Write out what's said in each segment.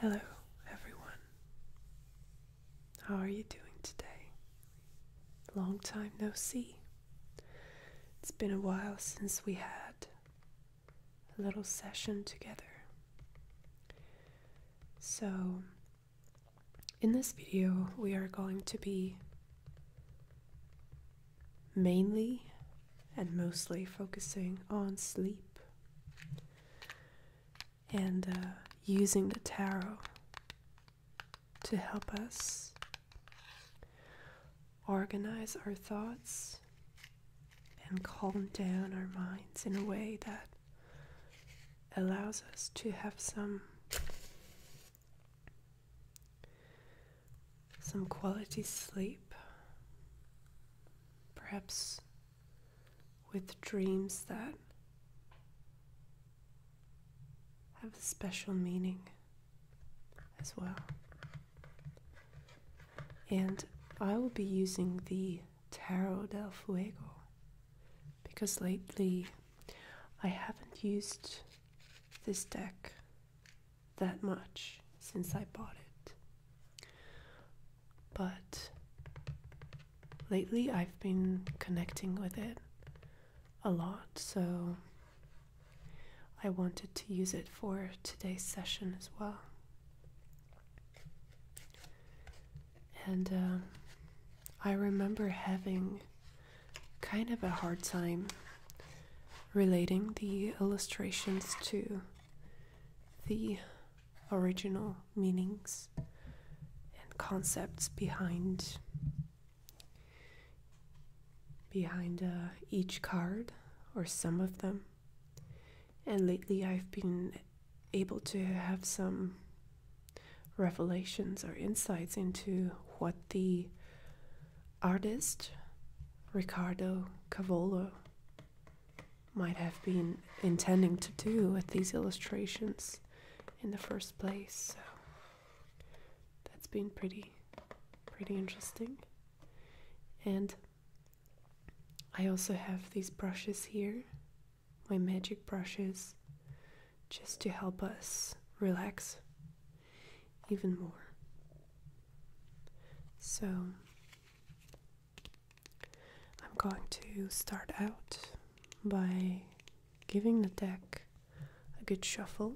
Hello, everyone. How are you doing today? Long time no see. It's been a while since we had a little session together. So, in this video, we are going to be mainly and mostly focusing on sleep and uh, using the tarot to help us organize our thoughts and calm down our minds in a way that allows us to have some some quality sleep perhaps with dreams that have a special meaning as well and I will be using the Tarot del Fuego because lately I haven't used this deck that much since I bought it. But lately I've been connecting with it a lot, so I wanted to use it for today's session as well. And um, I remember having kind of a hard time relating the illustrations to the original meanings and concepts behind behind uh, each card or some of them and lately, I've been able to have some revelations or insights into what the artist Ricardo Cavolo might have been intending to do with these illustrations in the first place. So that's been pretty pretty interesting. And I also have these brushes here, my magic brushes, just to help us relax even more. So I'm going to start out by giving the deck a good shuffle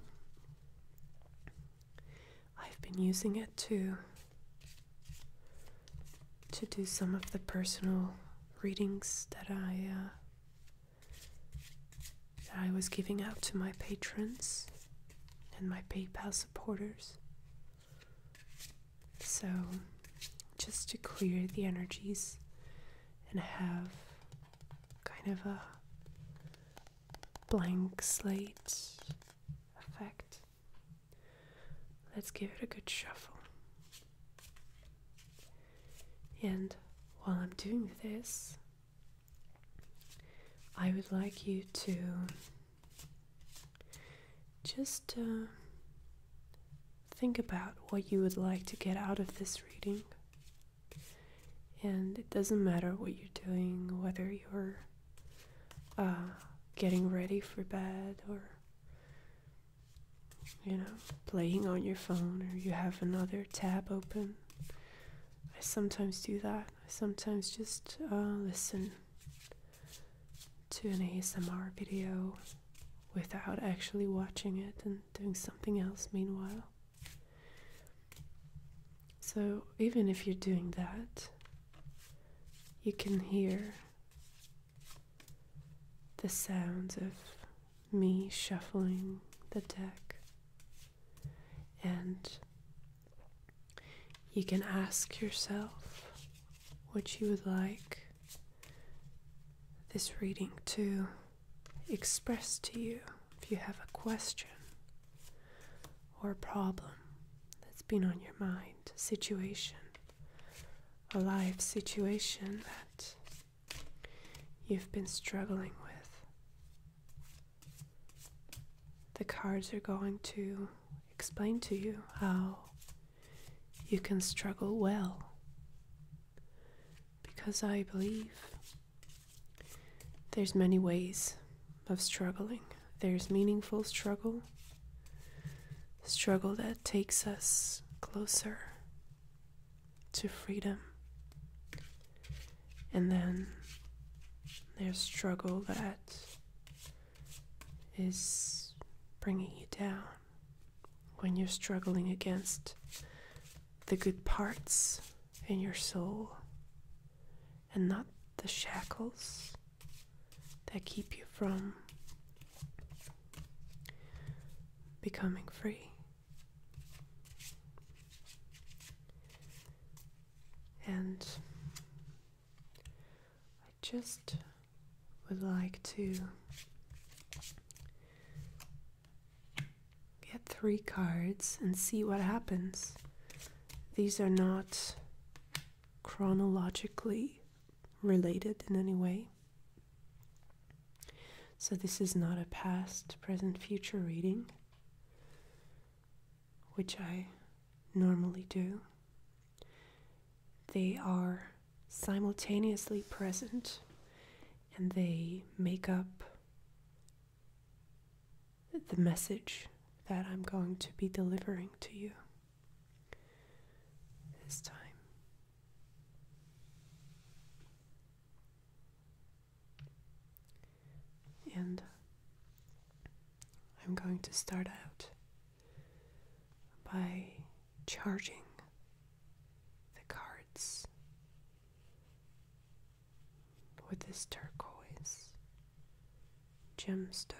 I've been using it to to do some of the personal readings that I uh, that I was giving out to my patrons and my PayPal supporters. So, just to clear the energies and have kind of a blank slate effect. Let's give it a good shuffle. And while I'm doing this, I would like you to just uh, think about what you would like to get out of this reading. And it doesn't matter what you're doing, whether you're uh, getting ready for bed or you know playing on your phone or you have another tab open i sometimes do that i sometimes just uh, listen to an asmr video without actually watching it and doing something else meanwhile so even if you're doing that you can hear the sounds of me shuffling the deck, and you can ask yourself what you would like this reading to express to you if you have a question or a problem that's been on your mind situation, a life situation that you've been struggling with. The cards are going to explain to you how you can struggle well. Because I believe there's many ways of struggling. There's meaningful struggle, struggle that takes us closer to freedom. And then there's struggle that is bringing you down when you're struggling against the good parts in your soul and not the shackles that keep you from becoming free. And I just would like to get three cards and see what happens. These are not chronologically related in any way. So, this is not a past, present, future reading, which I normally do. They are simultaneously present and they make up the message that I'm going to be delivering to you. This time. And I'm going to start out by charging the cards with this turquoise gemstone.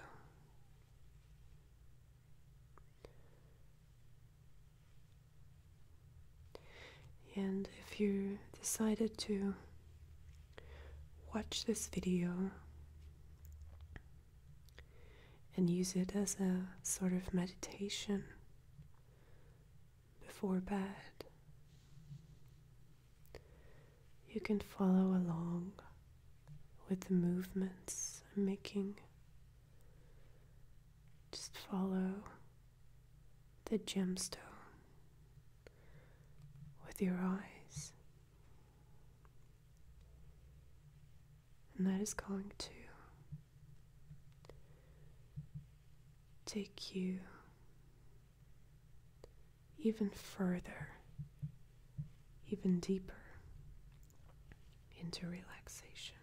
And if you decided to watch this video and use it as a sort of meditation before bed, you can follow along with the movements I'm making. Just follow the gemstone with your eyes. And that is going to take you even further even deeper into relaxation.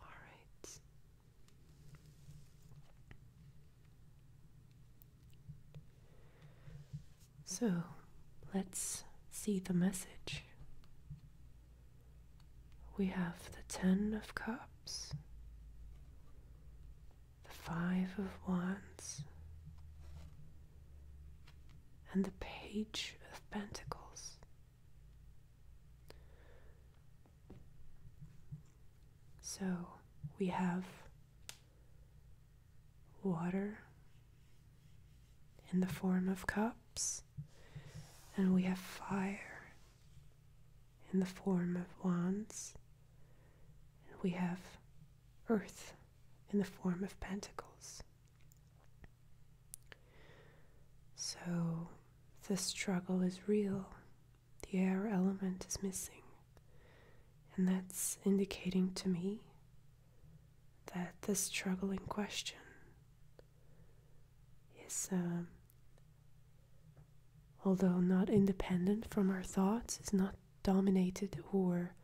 All right. So let's see the message. We have the Ten of Cups, the Five of Wands, and the Page of Pentacles. So we have water in the form of cups, and we have fire in the form of wands, and we have earth in the form of pentacles. So, the struggle is real. The air element is missing. And that's indicating to me that the struggling question is, um, although not independent from our thoughts, is not dominated or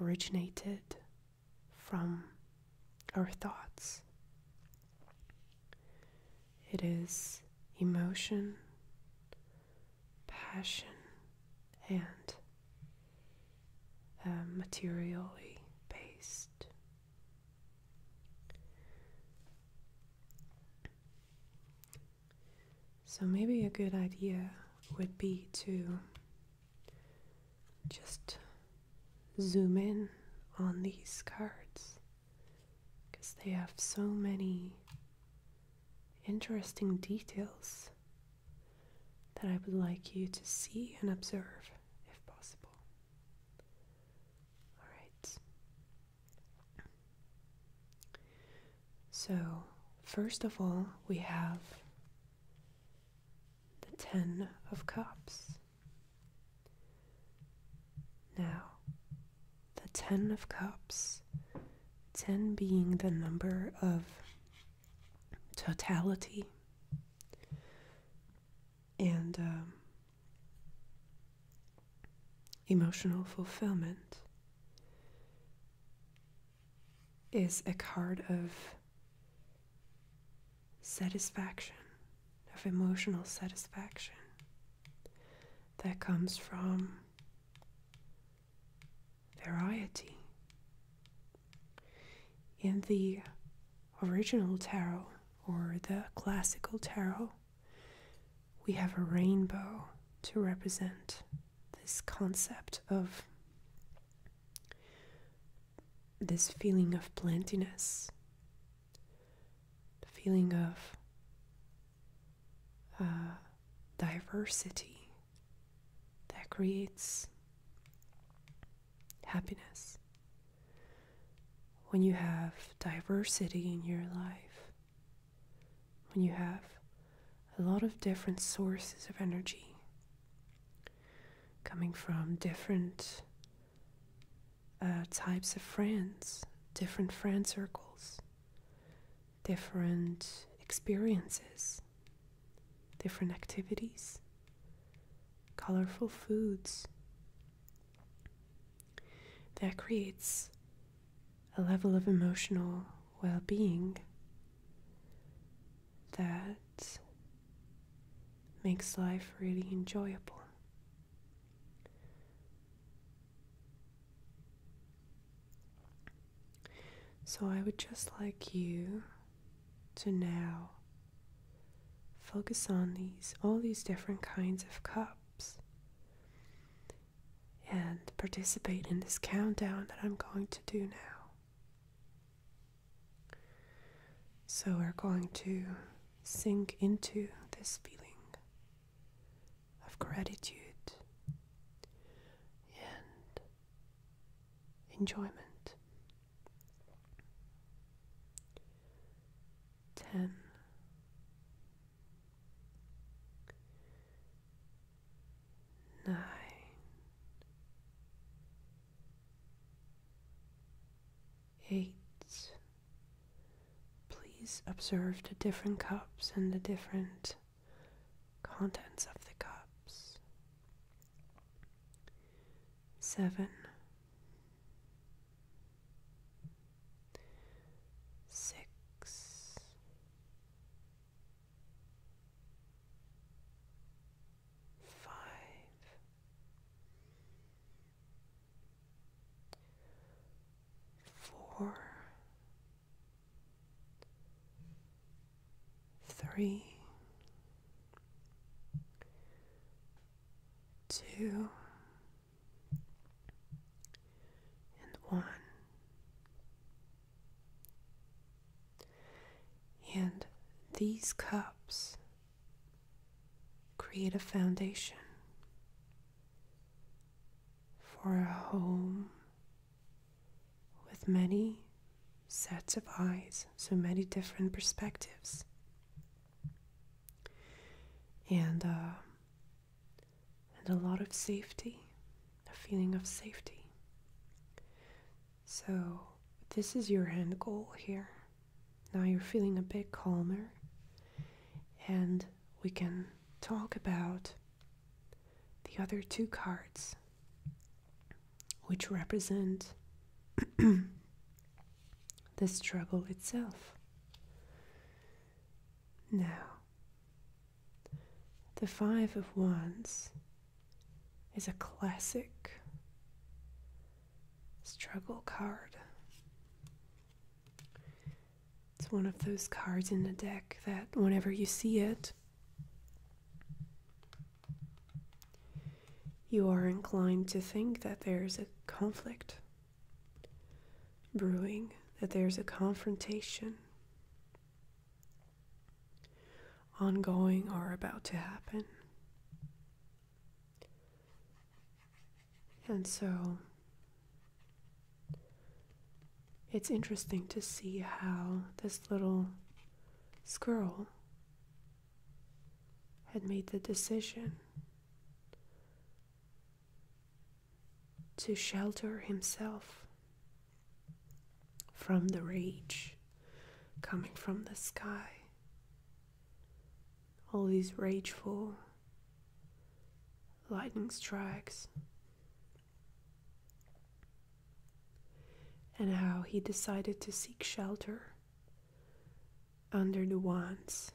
originated from our thoughts. It is emotion, passion, and uh, materially based. So, maybe a good idea would be to just zoom in on these cards because they have so many interesting details that I would like you to see and observe if possible. Alright. So, first of all, we have the Ten of Cups. Now, the Ten of Cups, ten being the number of totality. And um, emotional fulfillment is a card of satisfaction, of emotional satisfaction that comes from variety. In the original tarot or the classical tarot, we have a rainbow to represent this concept of this feeling of plentiness, the feeling of uh, diversity that creates happiness. When you have diversity in your life, when you have a lot of different sources of energy, coming from different uh, types of friends, different friend circles, different experiences, different activities, colorful foods. That creates a level of emotional well being that makes life really enjoyable. So I would just like you to now focus on these all these different kinds of cups and participate in this countdown that I'm going to do now. So we're going to sink into this feeling of gratitude and enjoyment. Ten nine, eight. Please observe the different cups and the different contents of the cups. Seven. Six, five, four, three, two, and one. And these cups create a foundation for a home with many sets of eyes, so many different perspectives. And, uh, and a lot of safety, a feeling of safety. So, this is your end goal here. Now you're feeling a bit calmer, and we can talk about the other two cards, which represent the struggle itself. Now, the Five of Wands is a classic struggle card. It's one of those cards in the deck that whenever you see it, you are inclined to think that there's a conflict brewing, that there's a confrontation ongoing or about to happen. And so it's interesting to see how this little squirrel had made the decision to shelter himself from the rage coming from the sky. All these rageful lightning strikes. And how he decided to seek shelter under the wands.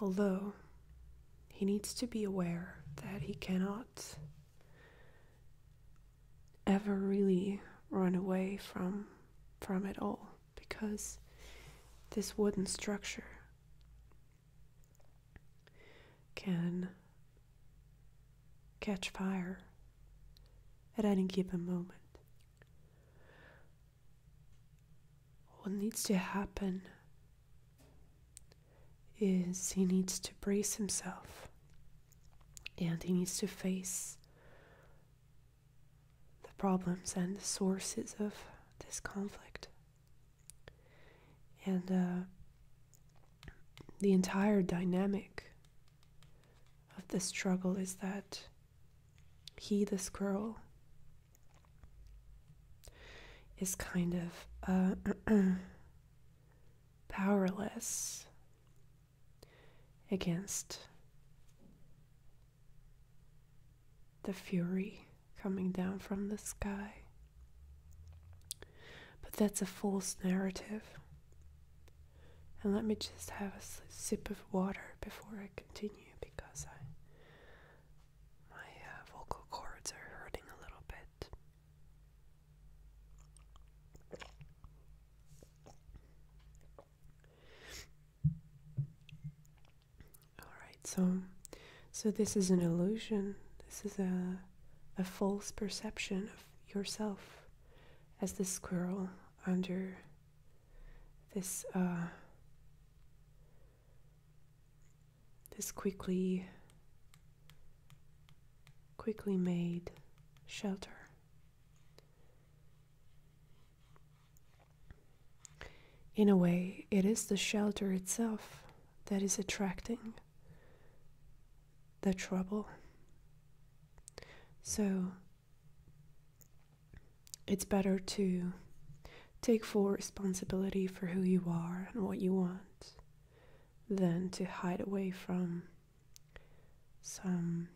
Although he needs to be aware that he cannot ever really run away from from it all because this wooden structure can catch fire at any given moment. What needs to happen is he needs to brace himself and he needs to face the problems and the sources of this conflict. And uh, the entire dynamic of the struggle is that he, the squirrel, is kind of uh, uh, powerless against the fury coming down from the sky. But that's a false narrative. And let me just have a sip of water before I continue because I my uh, vocal cords are hurting a little bit. All right, so so this is an illusion. This is a a false perception of yourself as the squirrel under this uh, this quickly quickly made shelter. In a way, it is the shelter itself that is attracting the trouble. So it's better to take full responsibility for who you are and what you want than to hide away from some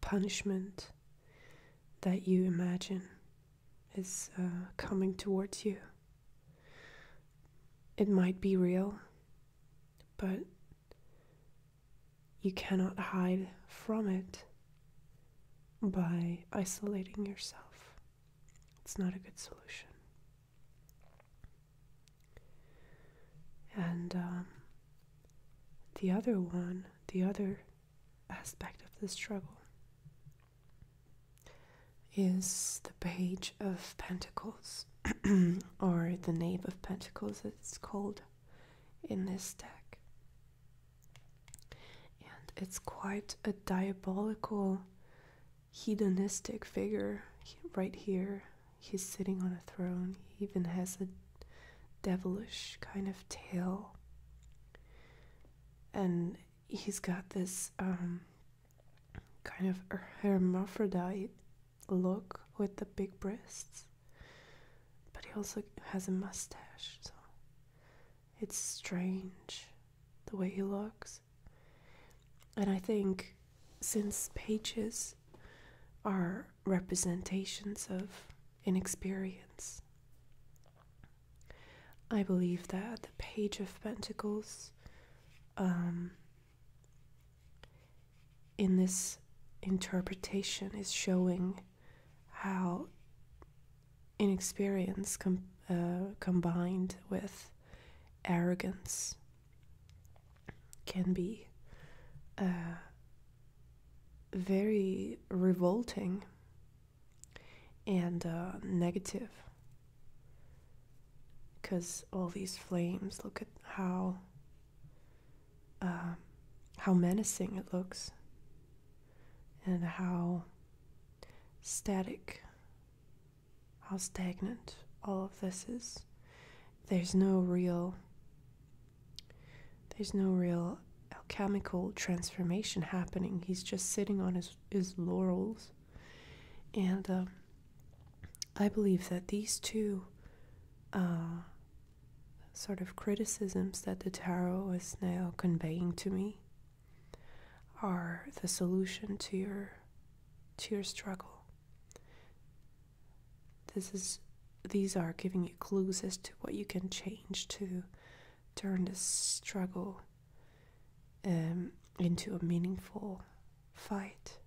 punishment that you imagine is uh, coming towards you. It might be real, but you cannot hide from it by isolating yourself. It's not a good solution. And um, the other one, the other aspect of this struggle is the page of pentacles, or the knave of pentacles, as it's called in this deck. And it's quite a diabolical hedonistic figure right here. He's sitting on a throne. He even has a devilish kind of tail. And he's got this um, kind of hermaphrodite look with the big breasts. But he also has a mustache, so it's strange the way he looks. And I think since pages are representations of inexperience, I believe that the Page of Pentacles, um, in this interpretation, is showing how inexperience uh, combined with arrogance can be uh, very revolting and uh, negative. Because all these flames, look at how um, how menacing it looks, and how static how stagnant all of this is. There's no real there's no real alchemical transformation happening. He's just sitting on his, his laurels. And um, I believe that these two uh, sort of criticisms that the tarot is now conveying to me are the solution to your to your struggle. This is these are giving you clues as to what you can change to turn this struggle um, into a meaningful fight.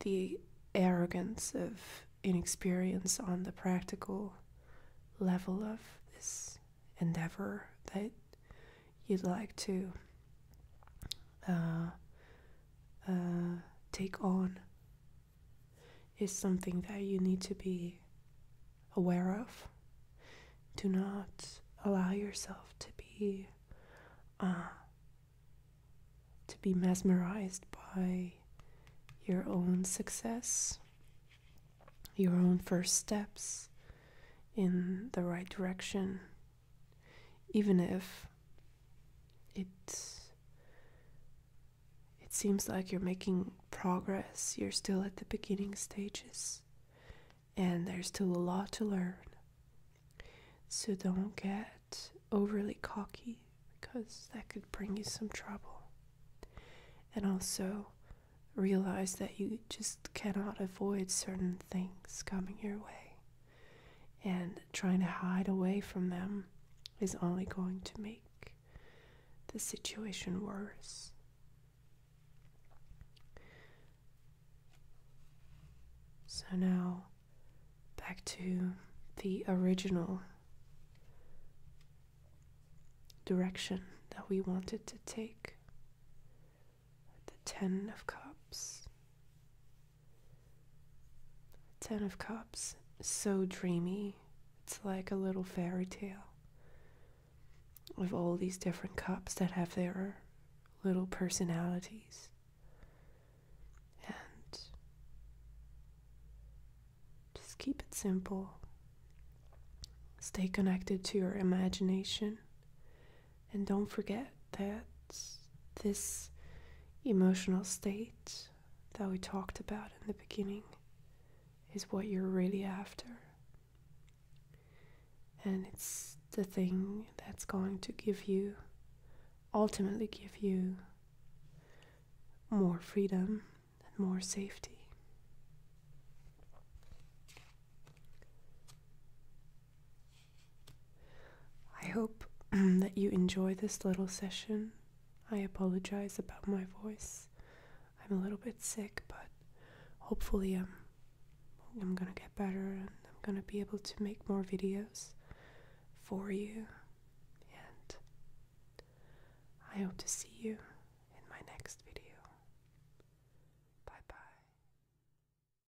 The arrogance of inexperience on the practical level of this endeavor that you'd like to uh, uh, take on is something that you need to be aware of. Do not allow yourself to be uh, to be mesmerized by your own success, your own first steps in the right direction, even if it it seems like you're making progress you're still at the beginning stages and there's still a lot to learn so don't get overly cocky because that could bring you some trouble and also realize that you just cannot avoid certain things coming your way and trying to hide away from them is only going to make the situation worse. So now back to the original direction that we wanted to take the Ten of Cups. Ten of Cups, so dreamy. It's like a little fairy tale with all these different cups that have their little personalities. And just keep it simple. Stay connected to your imagination. And don't forget that this emotional state that we talked about in the beginning is what you're really after. And it's the thing that's going to give you, ultimately, give you more freedom and more safety. I hope um, that you enjoy this little session. I apologize about my voice. I'm a little bit sick, but hopefully I'm going to get better and I'm going to be able to make more videos for you. And I hope to see you in my next video. Bye bye.